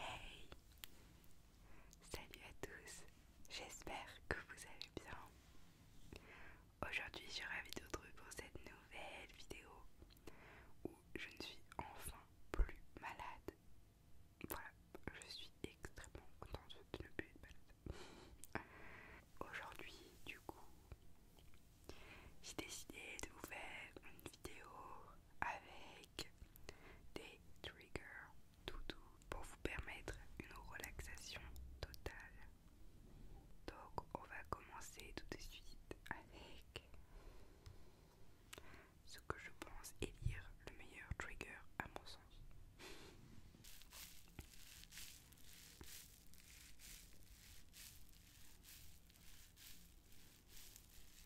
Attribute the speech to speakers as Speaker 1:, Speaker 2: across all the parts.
Speaker 1: Hey Salut à tous, j'espère que vous allez bien. Aujourd'hui je suis ravie de vous retrouver pour cette nouvelle vidéo où je ne suis enfin plus malade voilà, je suis extrêmement contente de ne plus être malade. Euh, aujourd'hui, du coup, j'ai décidé de vous faire une vidéo avec des triggers doux pour vous permettre une relaxation totale. Donc, on va commencer tout de suite avec ce que je pense élire le meilleur trigger à mon sens.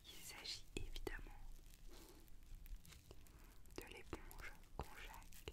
Speaker 1: Il s'agit évidemment de l'éponge conjaque.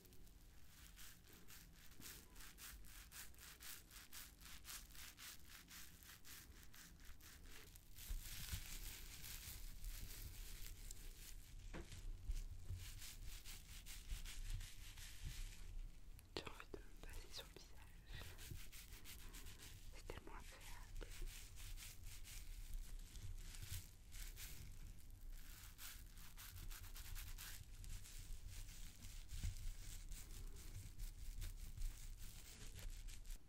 Speaker 1: J'ai envie de me passer sur le visage. C'est tellement agréable.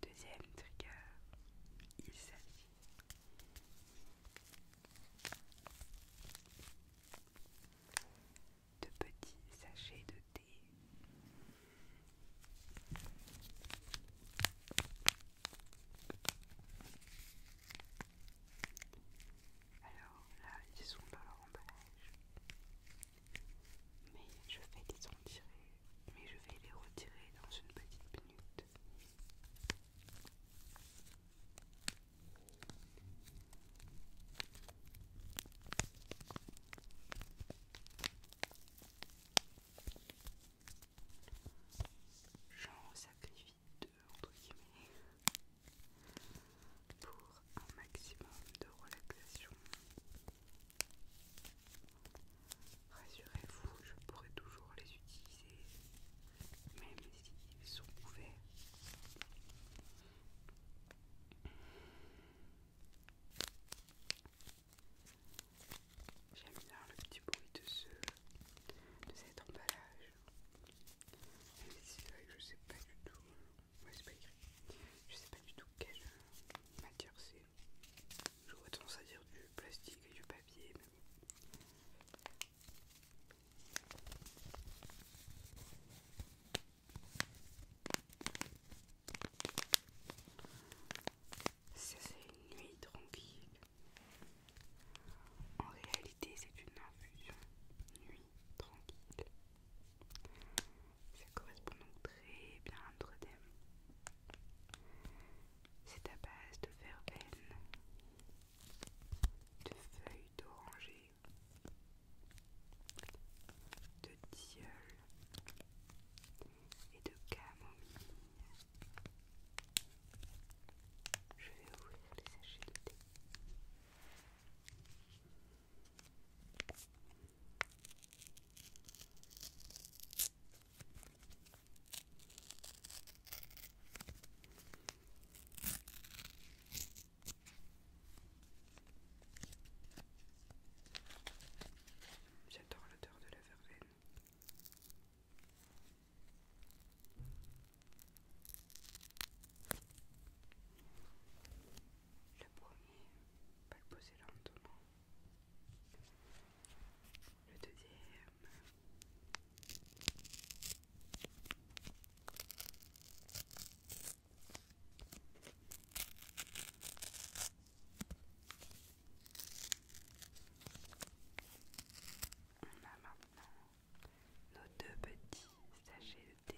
Speaker 1: Deuxième trigger, il s'agit de petits sachets de thé. Alors là, ils sont dans leur emballage. Mais je vais les mais je vais les retirer dans une petite minute. J'en sacrifie pour un maximum de relaxation. Rassurez-vous, je pourrai toujours les utiliser même s'ils sont ouverts. J'aime bien le petit bruit de, ce, de cet emballage. mais je sais pas du tout. Ouais, c'est pas écrit. Je sais pas du tout quelle matière c'est. J'aurais tendance à dire du plastique et du papier, mais ça c'est une nuit tranquille. En réalité c'est une infusion. Nuit tranquille. Ça correspond donc très bien à notre thème. C'est à base de verveine, de feuilles d'oranger, de tilleul et de camomille. Je vais ouvrir les sachets de thé. J'adore l'odeur de la verveine. Le premier, pas le poser lentement. Le deuxième. On a maintenant nos deux petits sachets de thé.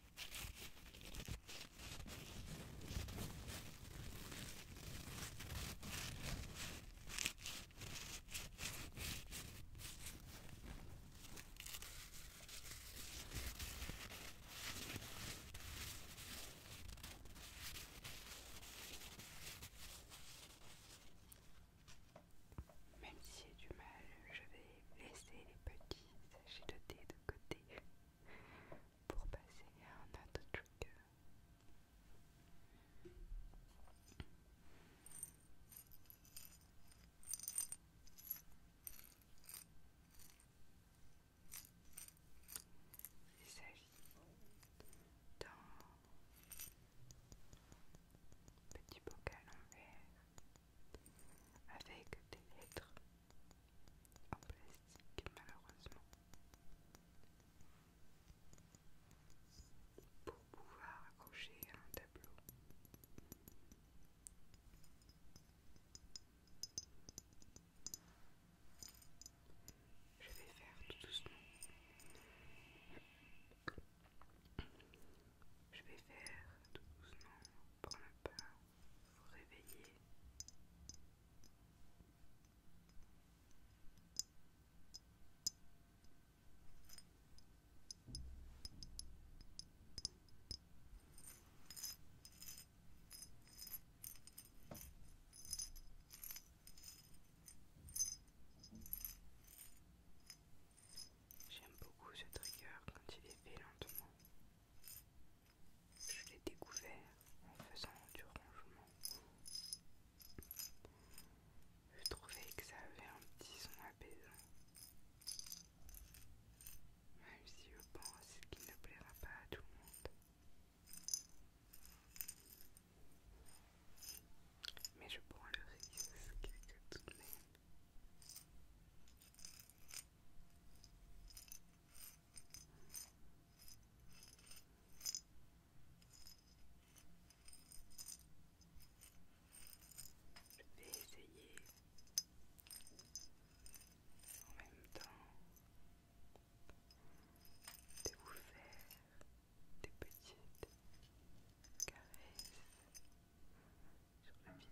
Speaker 1: Même si j'ai du mal, je vais laisser les petits sachets de côté pour passer à un autre truc. Il s'agit d'un petit bocal en verre avec des lettres en plastique malheureusement pour pouvoir accrocher à un tableau. Je vais faire tout doucement. Je vais faire tout doucement pour ne pas vous J'aime beaucoup ce trigger quand il est fait lentement. Je l'ai découvert en faisant du rangement. Je trouvais que ça avait un petit son apaisant. Même si je pense qu'il ne plaira pas à tout le monde. Mais je prends le risque tout de même. Je vais essayer en même temps de vous faire des petites caresses sur le visage.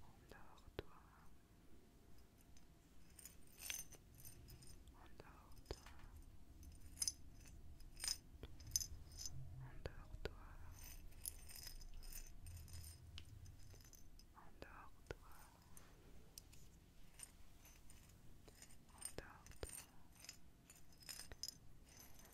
Speaker 1: Endors-toi. Endors-toi. Endors-toi. Endors-toi. Endors-toi.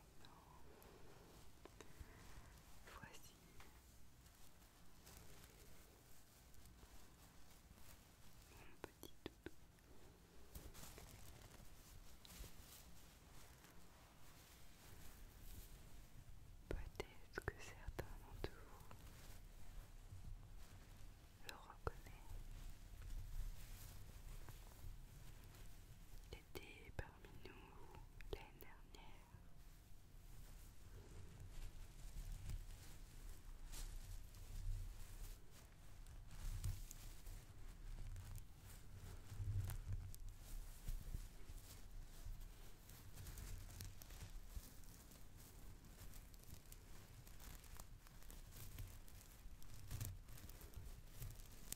Speaker 1: maintenant. Voici mon petit doudou. Peut-être que certains d'entre vous le reconnaissent. Il était parmi nous l'année dernière.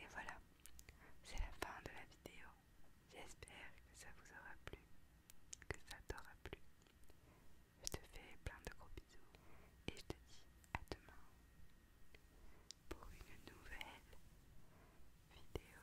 Speaker 1: Et voilà, c'est la fin de la vidéo. J'espère que ça vous aura plu, que ça t'aura plu. Je te fais plein de gros bisous et je te dis à demain pour une nouvelle vidéo.